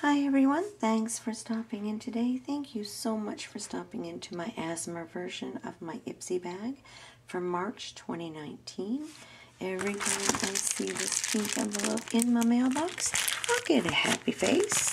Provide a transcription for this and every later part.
Hi everyone, thanks for stopping in today. Thank you so much for stopping into my asthma version of my Ipsy bag for March 2019. Every time I see this pink envelope in my mailbox, I'll get a happy face.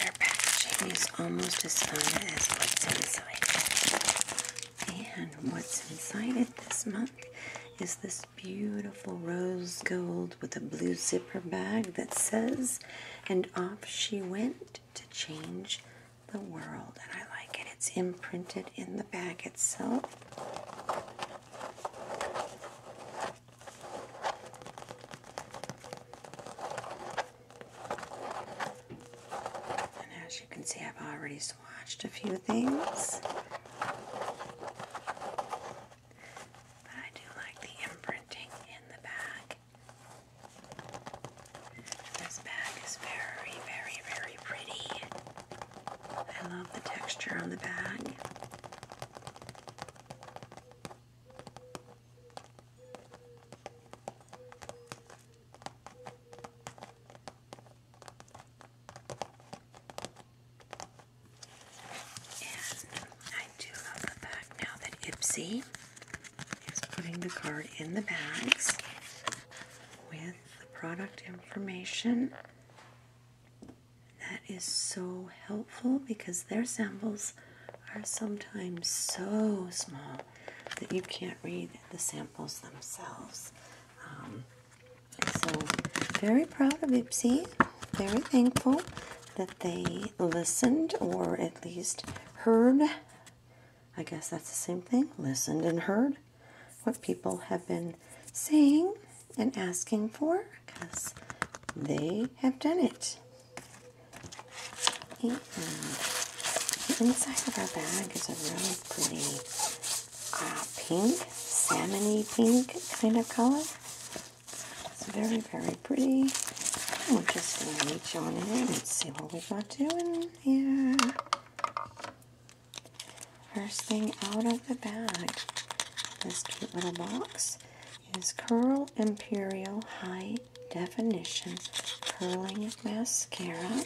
Their packaging is almost as fun as what's inside And what's inside it this month is this beautiful rose gold with a blue zipper bag that says, and off she went to change the world. And I like it. It's imprinted in the bag itself. And as you can see, I've already swatched a few things. But I do like the imprinting in the bag. This bag is very, very, very pretty. I love the texture on the bag. I do love the fact now that Ipsy is putting the card in the bags with the product information that is so helpful because their samples are sometimes so small that you can't read the samples themselves. Um, so, very proud of Ipsy, very thankful that they listened or at least heard. I guess that's the same thing listened and heard what people have been saying and asking for because they have done it the mm-hmm. inside of our bag is a really pretty uh, pink, salmony pink kind of color. It's very, very pretty. we're just going to reach on in and see what we got doing here. First thing out of the bag, this cute little box is Curl Imperial High Definition Curling Mascara.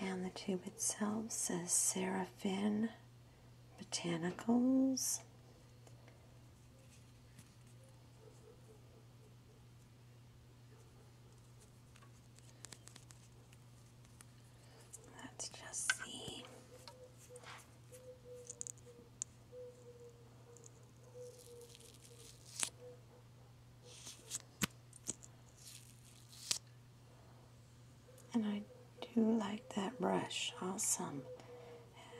And the tube itself says Seraphin Botanicals. Let's just see. And I do like that brush, awesome.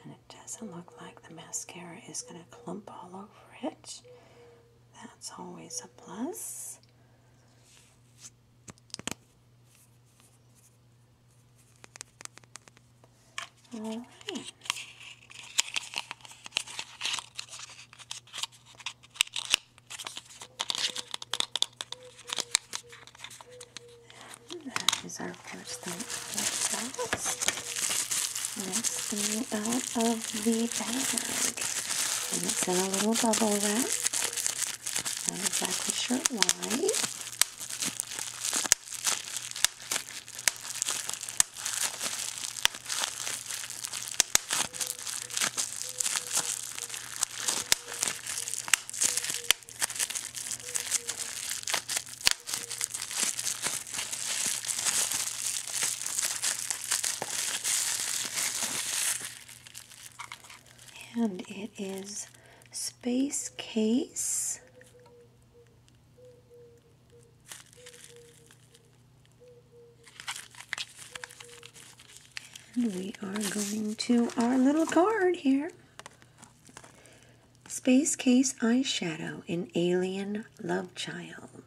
And it doesn't look like the mascara is going to clump all over it. That's always a plus. All right. that is our first thing. Next thing of the bag. And it's in a little bubble wrap. Not exactly sure why and it is Space Case. we are going to our little card here. Space Case Eyeshadow in Alien Love Child.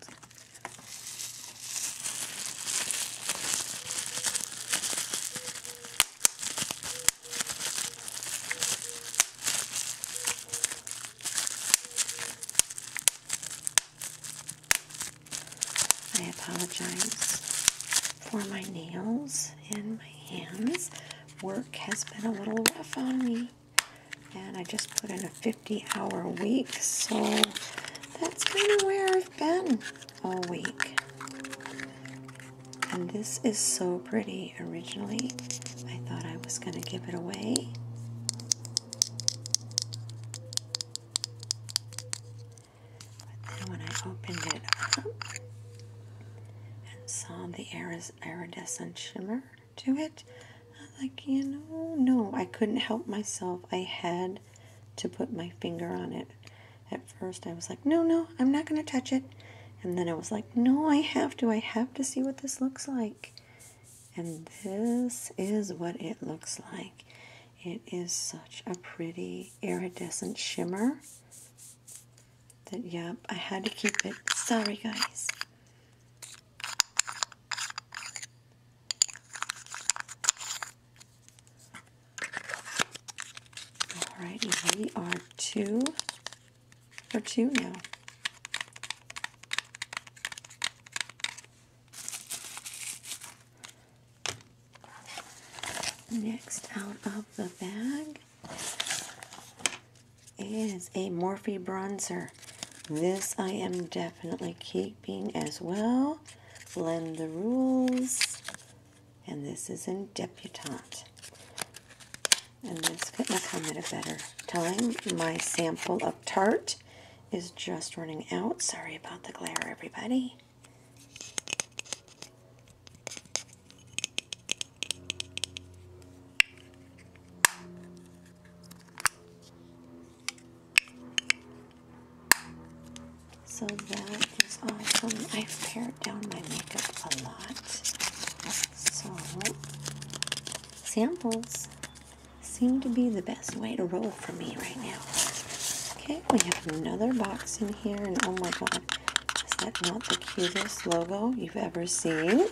I apologize for my nails and my hands. Work has been a little rough on me, and I just put in a 50 hour week. So that's kind of where I've been all week. And this is so pretty. Originally, I thought I was going to give it away. But then when I opened it up and saw the iridescent shimmer to it, like, you know, no, I couldn't help myself. I had to put my finger on it. At first, I was like, no, no, I'm not going to touch it. And then I was like, no, I have to. I have to see what this looks like. And this is what it looks like. It is such a pretty iridescent shimmer that, yep, I had to keep it. Sorry, guys. Alrighty, we are two for two now. Next out of the bag is a Morphe bronzer. This I am definitely keeping as well. Blend the rules. And this is in Debutante. And this couldn't have come at a better time. My sample of tart is just running out. Sorry about the glare, everybody. So that is awesome. I've pared down my makeup a lot. So samples seem to be the best way to roll for me right now. Okay, we have another box in here, and oh my god, is that not the cutest logo you've ever seen?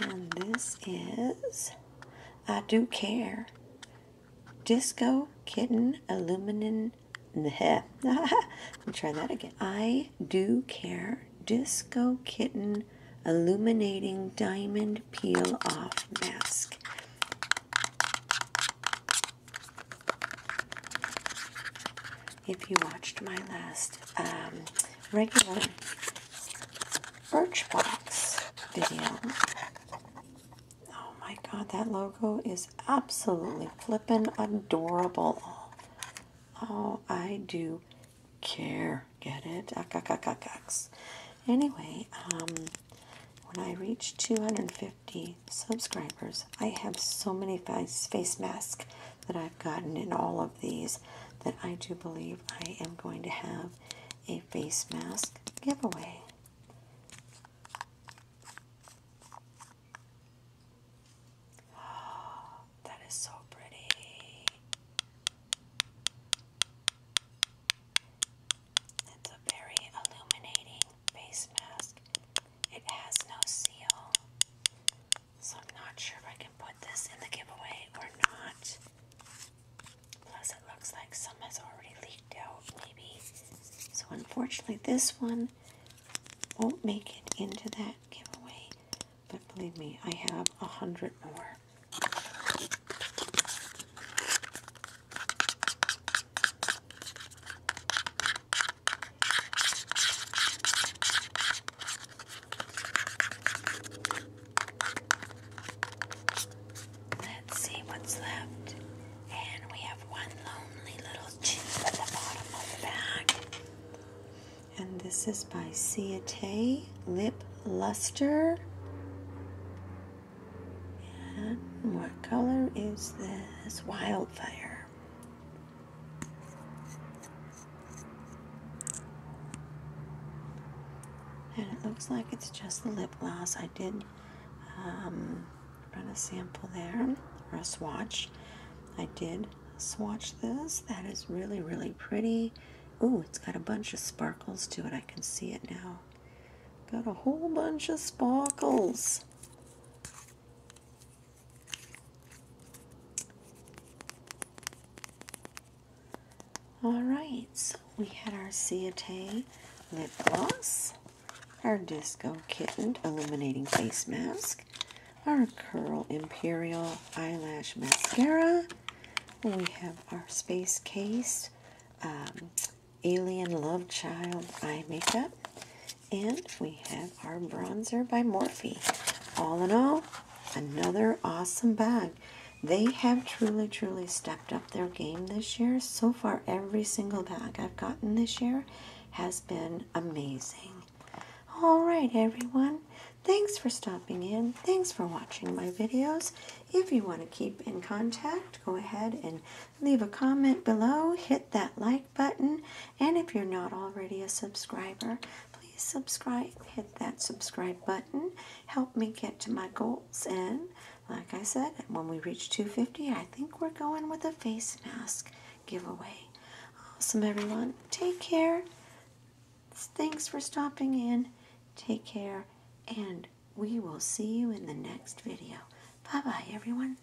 And this is I Do Care Disco Kitten Aluminum. try that again. I Do Care Disco Kitten Illuminating Diamond Peel Off Mask if you watched my last um, regular Birchbox video. Oh my god, that logo is absolutely flippin' adorable. Oh, I do care. Get it? Anyway, um, when I reach 250 subscribers, I have so many face, masks that I gotten in all of these that I do believe I am going to have a face mask giveaway. Oh, that is so pretty. It's a very illuminating face mask. It has no seal. So I'm not sure if I can put this in the giveaway or not. Plus it looks like some has already leaked out maybe. So unfortunately this one won't make it into that giveaway. But believe me, I have a hundred more. Let's see what's left. And we have one lonely little chip at the bottom of the bag. And this is by Ciate Lip Luster. And what color is this? Wildfire. And it looks like it's just the lip gloss. I did um, run a sample there, or a swatch. I did swatch this. That is really, really pretty. Ooh, it's got a bunch of sparkles to it. I can see it now. Got a whole bunch of sparkles. Alright, so we had our Ciate lip gloss, our Disco Kitten illuminating face mask, our Curl Imperial eyelash mascara, we have our Space Case um, Alien Love Child eye makeup, and we have our bronzer by Morphe. All in all, another awesome bag. They have truly, truly stepped up their game this year. So far, every single bag I've gotten this year has been amazing. All right, everyone. Thanks for stopping in. Thanks for watching my videos. If you want to keep in contact, go ahead and leave a comment below. Hit that like button. And if you're not already a subscriber, please subscribe, hit that subscribe button, help me get to my goals. And like I said, when we reach 250, I think we're going with a face mask giveaway. Awesome, everyone. Take care. Thanks for stopping in. Take care. And we will see you in the next video. Bye bye, everyone.